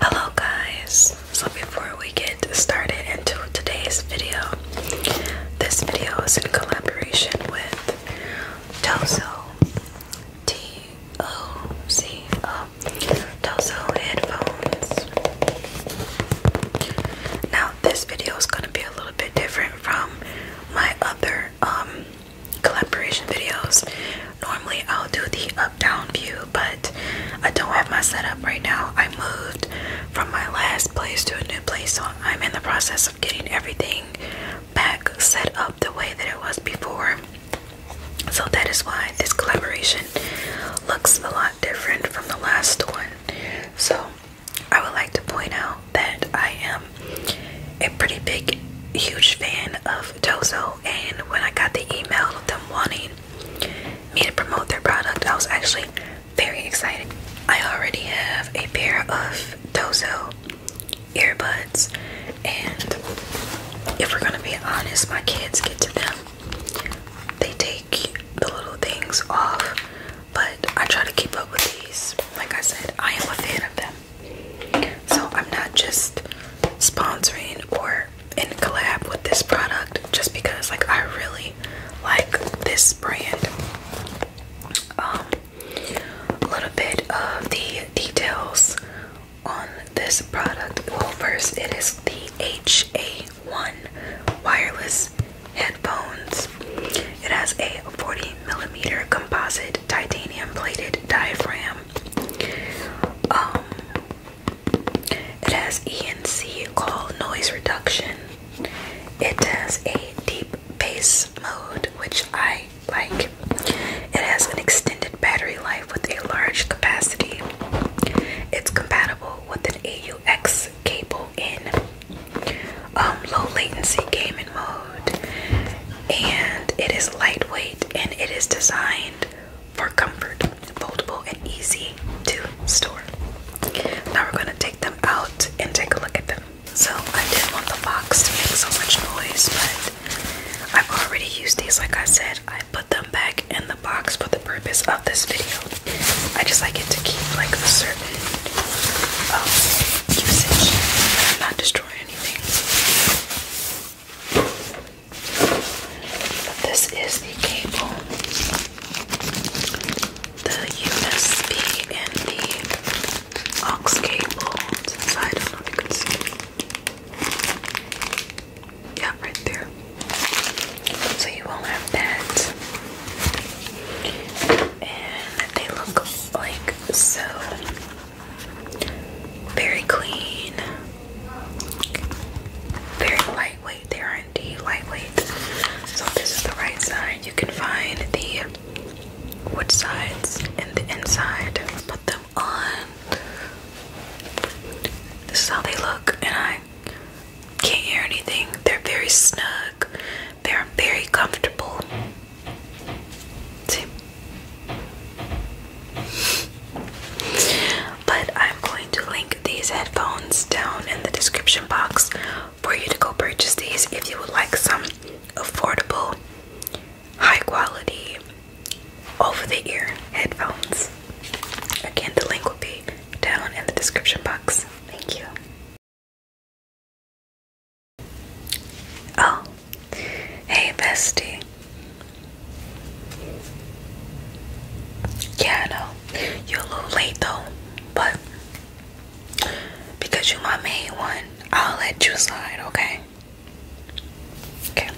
Hello guys! So before we get started into today's video, this video is in collaboration with Tozo T-O-C-O Tozo headphones. Now this video is gonna be a little bit different from my other um collaboration videos Normally I'll do the up down view, but I don't have my setup right now. I moved from my last place to a new place, so I'm in the process of getting everything back set up the way that it was before. So that is why this collaboration looks a lot different from the last one. So I would like to point out that I am a pretty big, huge fan of of Dozo, and when I got the email of them wanting me to promote their product, I was actually very excited. I already have a pair of Dozo earbuds, and if we're gonna be honest, my kids get to them. They take the little things off, but I try to keep up with these. Like I said, I am a fan of them. So I'm not just sponsoring or in collab with this product just because like I really like this brand. Um, a little bit of the details on this product. Well first it is the HA1 wireless headphones. It has a 40 millimeter composite titanium plated diaphragm. Um, it has ENC call noise reduction. It has a deep bass mode, which I like. It has an extended battery life with a large capacity. It's compatible with an AUX cable in um, low latency gaming mode. And it is lightweight and it is designed for comfort, foldable and easy to store. Now we're going to take them out and take a look at them. So I didn't want the box to make so much noise, but I've already used these. Like I said, I put them back in the box for the purpose of this video. I just like it to keep like the certain um, usage. and not destroy anything. This is the cable, the USB and the aux cable. Yeah, right there. So you will have that. And they look like so. Very clean. Very lightweight. They are indeed lightweight. So this is the right side. You can find the wood sides and the inside. Put them on. This is how they look, and I can't hear anything. They're very snug. They're very comfortable. See? But I'm going to link these headphones down in the description box for you to go purchase these if you would like some affordable, high quality, over the ear headphones. Again, the link will be down in the description box. Thank you. Oh, Hey, bestie. Yeah, I know. You're a little late though, but because you're my main one, I'll let you slide, okay? Okay.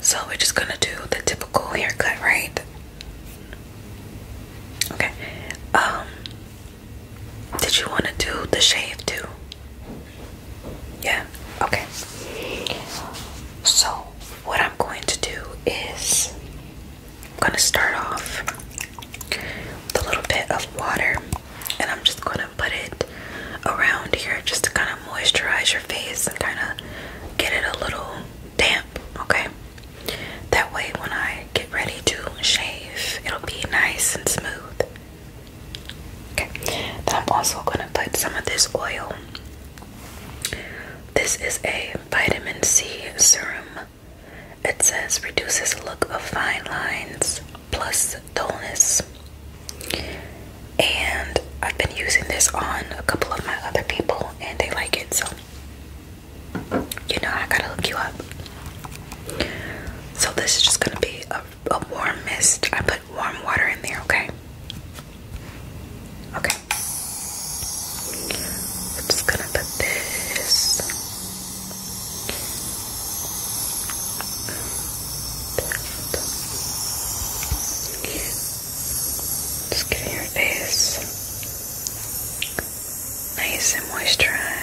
So we're just gonna do the typical haircut, right? Okay. Um, did you want to do the shave too? Yeah, okay. So, what I'm going to do is I'm going to start off with a little bit of water and I'm just going to put it around here just to kind of moisturize your face and kind of get it a little damp, okay? That way, when I get ready to shave, it'll be nice and smooth. Okay, then I'm also gonna put some of this oil. This is a vitamin C serum. It says reduces look of fine lines plus dullness. And I've been using this on a couple of my other people and they like it, so you know I gotta hook you up. So this is just gonna be a a warm mist. I put warm water in there, okay? Okay. I'm just gonna put this. Just give your face nice and moisturized.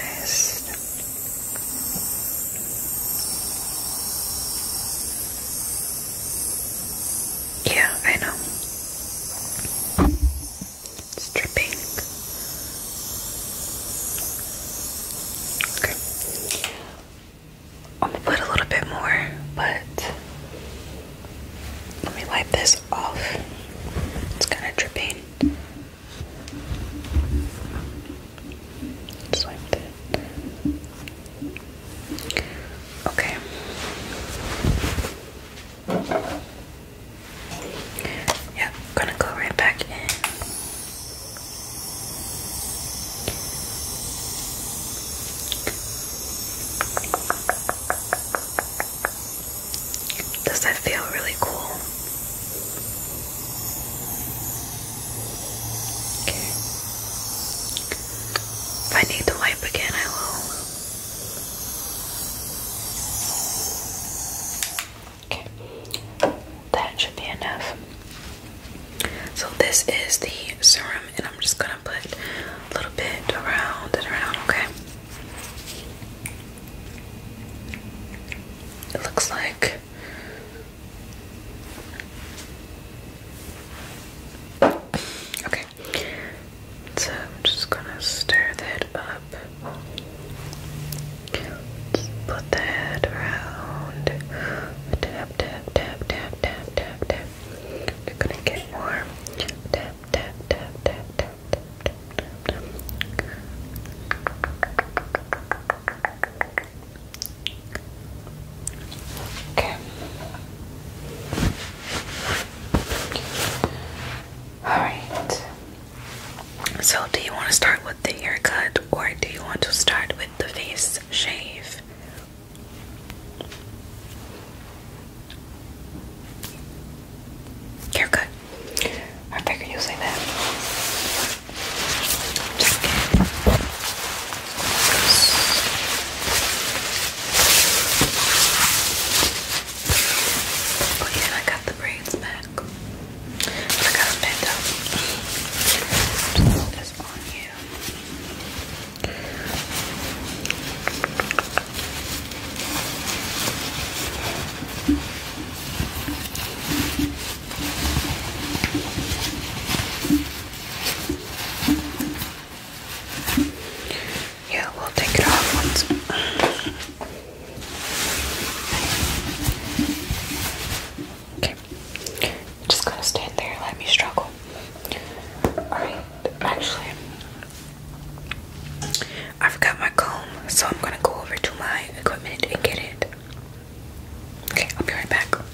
Yeah, I know. It's dripping. Okay. I'm gonna put a little bit more, but let me wipe this off. It's kind of dripping. Just like Okay. Yeah, gonna go right back in. Does that feel really cool? Okay. If I need to wipe again, I will. Okay. That should be enough. So this is the serum, and I'm just gonna put a little bit around and around, okay? It looks like Okay, so I'm just gonna stir that up. put that around. Tap, tap, tap, tap, tap, tap, tap. we gonna get more. tap, tap, tap, tap, tap, tap, tap. Okay. Alright. So, do you want to start with the haircut or do you want to start with the face shave? Haircut. I figured you'll say that. oh, yeah, I got the braids back. I got them this on you. Yeah, we'll take it off once. Okay, just going to stand there. Let me struggle. All right, actually, I forgot my comb, so I'm gonna go over to my equipment and get it. Okay, I'll be right back. Okay.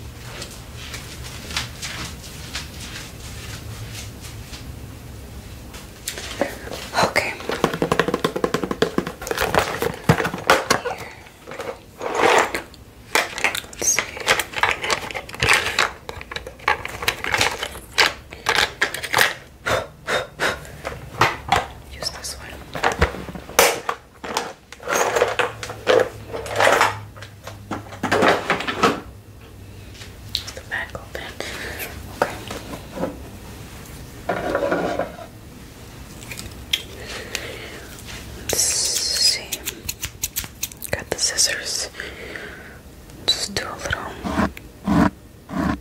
Use this one. It's the back open. Okay. let Got the scissors. Just do a little.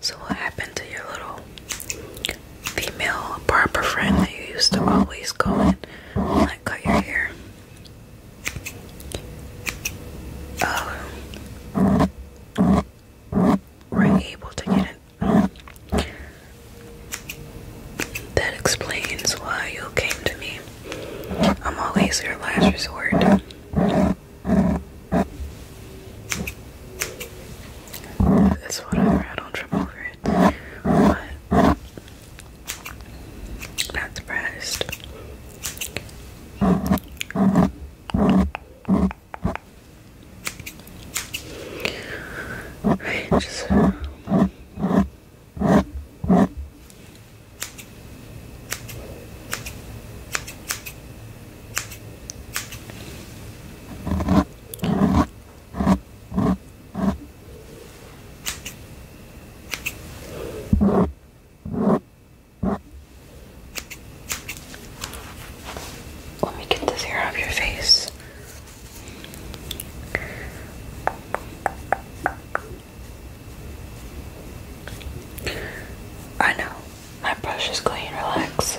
So, what happened to your little female barber friend that you used to always go in and like, cut your hair? Um, we're able to get it. That explains why you came to me. I'm always your last resort. It's whatever, I don't trip over it. not surprised. Right, just let me get this hair off your face. I know. My brush is clean, relax.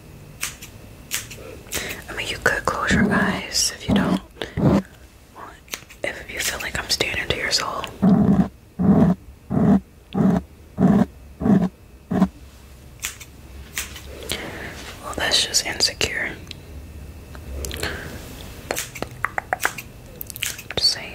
I mean, you could close your eyes if you don't. if you feel like I'm standing to your soul. Well, that's just insecure. Just saying.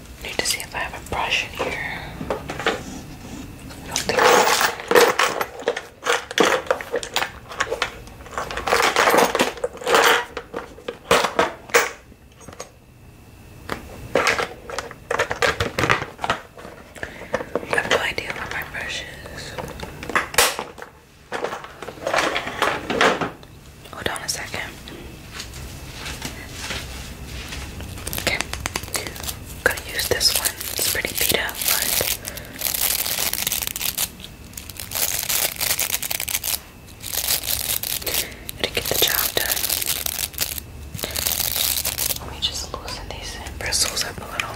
Need to see if I have a brush in here. I have no idea where my brush is. Hold on a second. Okay. I'm gonna use this one. It's pretty beat up, but it get the job done. Let me just loosen these bristles up a little.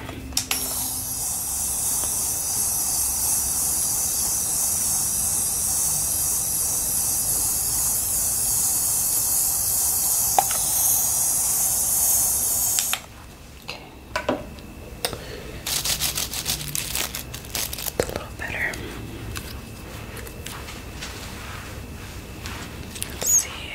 Okay. It's a little better. Let's see.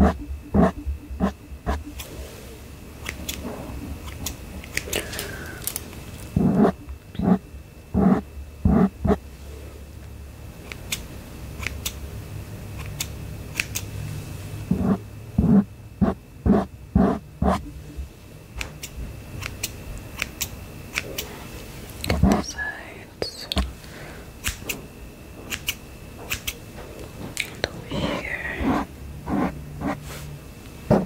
Okay. Get the sides and over here. Got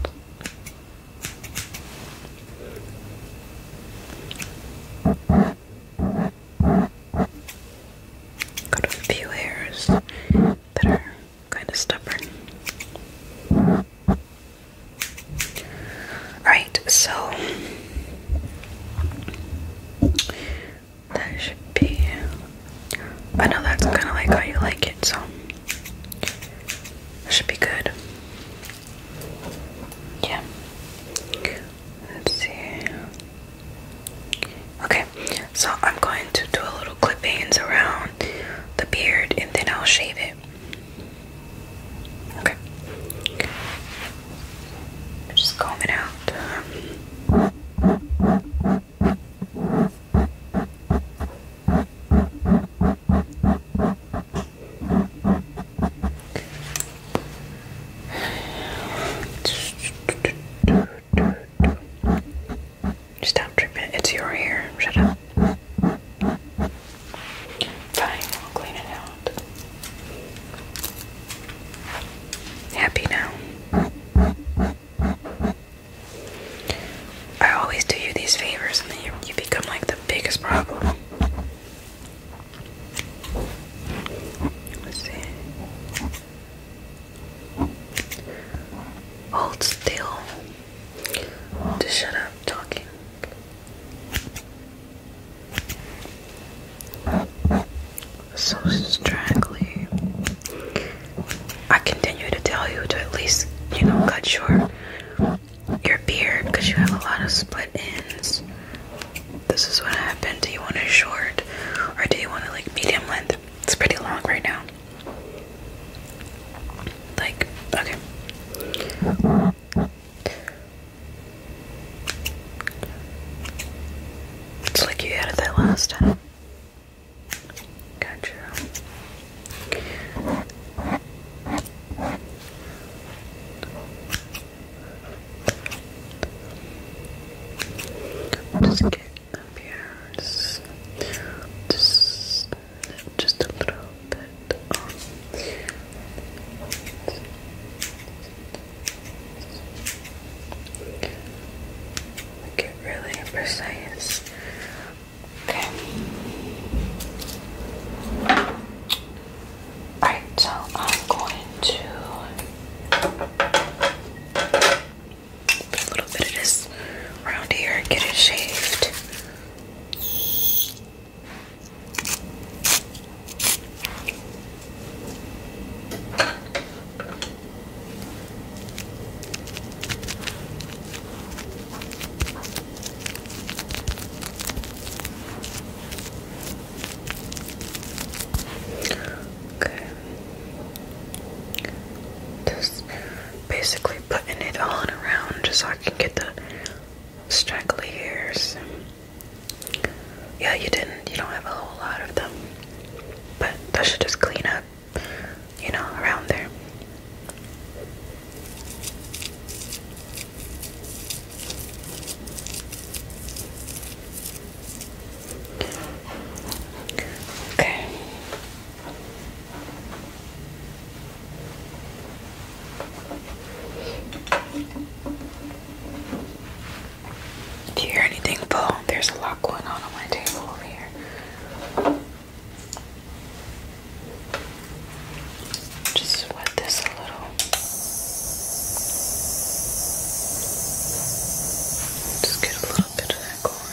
a few hairs that are kind of stubborn. Right, so that should be I know that's kind of like how you like it, so it should be good. Yeah. Let's see. Okay, so I'm going to do a little clippings around the beard and then I'll shave it. Okay. Just comb it out. Stop tripping. It's your hair. Shut up. Fine, we'll clean it out. Happy now. I always do you these favors and then you, become like the biggest problem. Let's see. Hold still. Just shut up talking. So straggly. I continue to tell you to at least, you know, cut your your beard because you have a lot of split ends. This is what happened. Do you want it short or do you want it like medium length? It's pretty long right now. Like, okay. It's like you had that last time. Gotcha. Just get up here. Just, just, a little bit. Um, Get really precise. Okay. Alright, so I'm going to put a little bit of this around here, get it shaved. Okay. Just basically putting it on around just so I can get the straggly hairs. Yeah, you didn't. You don't have a whole lot of them. But that should just clean up you know, around there. Okay. Do you hear anything, Paul? There's a lot going on on my table over here. Just wet this a little. Just get a little bit of that corn.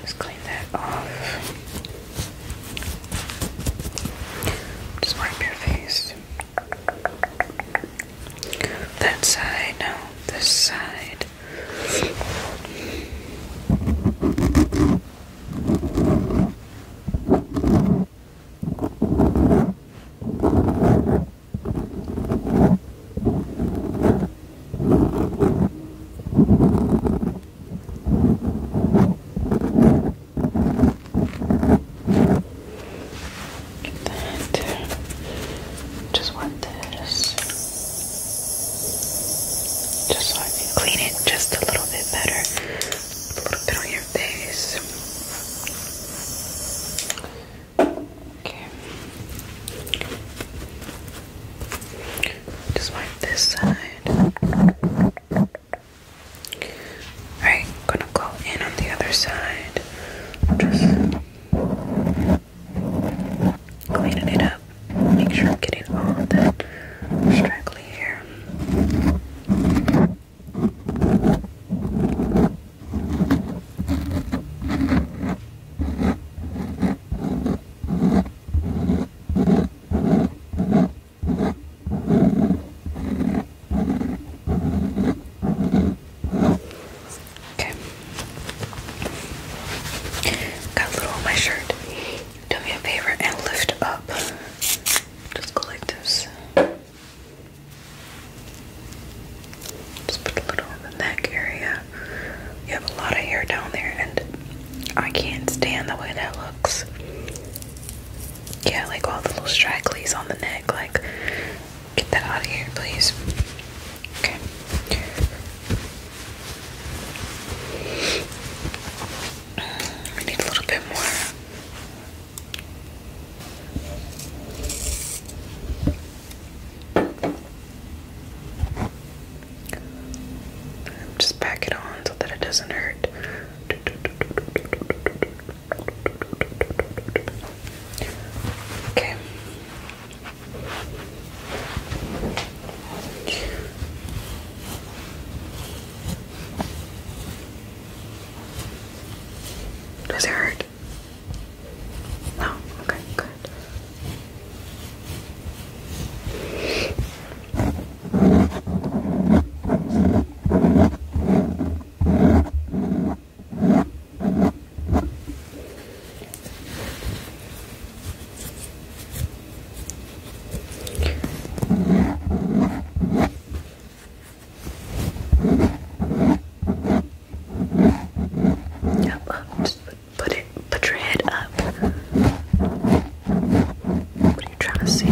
just clean that off. Just wipe your face. That side, no, this side. Just want this. Just so I clean it just a little bit better. A little bit on your face. Okay. Just wipe this side. Alright, gonna go in on the other side. Just cleaning it up. Make sure I'm getting all that straggly hair. Okay. Got a little on my shirt. Do me a favor and lift up. Just go like this. Just put a little in the neck area. You have a lot of hair down there, and I can't stand the way that looks. Yeah, like all the little stragglies on the neck. Like, get that out of here, please. Okay. We need a little bit more. Just pack it on so that it doesn't hurt. Okay. Does it hurt? No. Okay. Good. Up, up, just put, put it, put your head up. What are trying to see?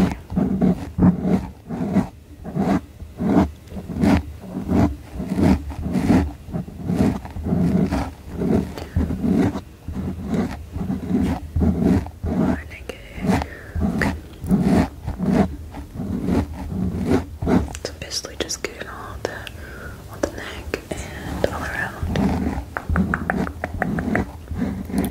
Okay. So basically just getting all the on the neck and all around.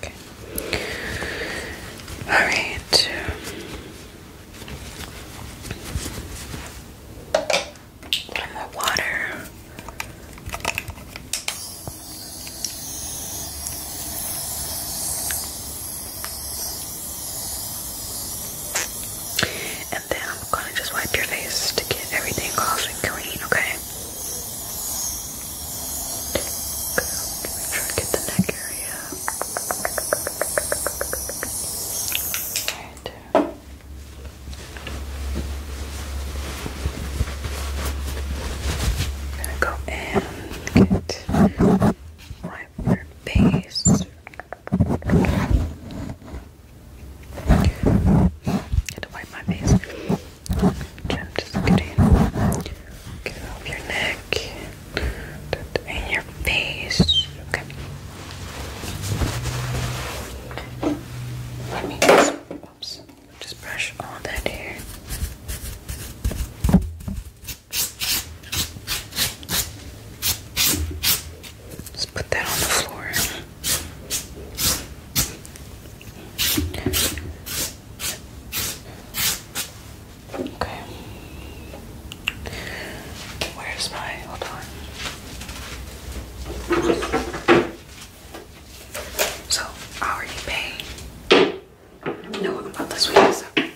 Okay. All right. One more water. And then I'm gonna just wipe your face to get everything off and clean, okay? Make sure I get the neck area. All right. I'm gonna go and get right where base. to wipe my face. I'm just going get off your neck and your face. Okay. Let me just, oops, just brush all that hair. let put that on the floor. Okay. Where's my hold on? So I already paid. No, I'm about this up right now.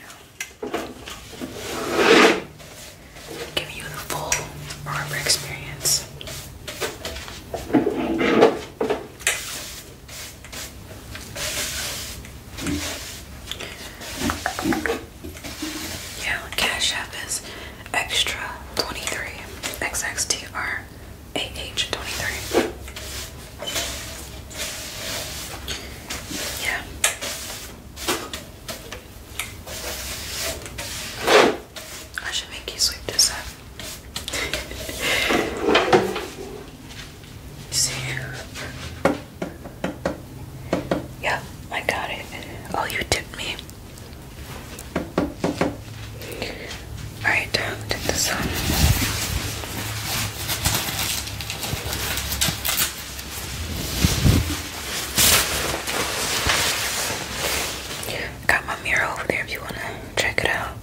you the full barber experience. Yeah, Cash App is extra 23 XXTR AH 23. Yeah. I should make you sweep this up. yeah, I got it. Oh, you tipped me. Alright, take this on. Got my mirror over there if you wanna Check it out.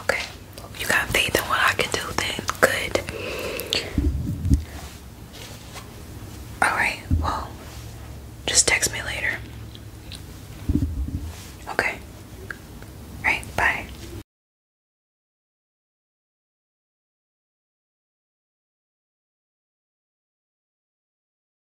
Okay. You got faith in what I can do then. Good. Alright, well, just text me later. Okay. Alright, bye.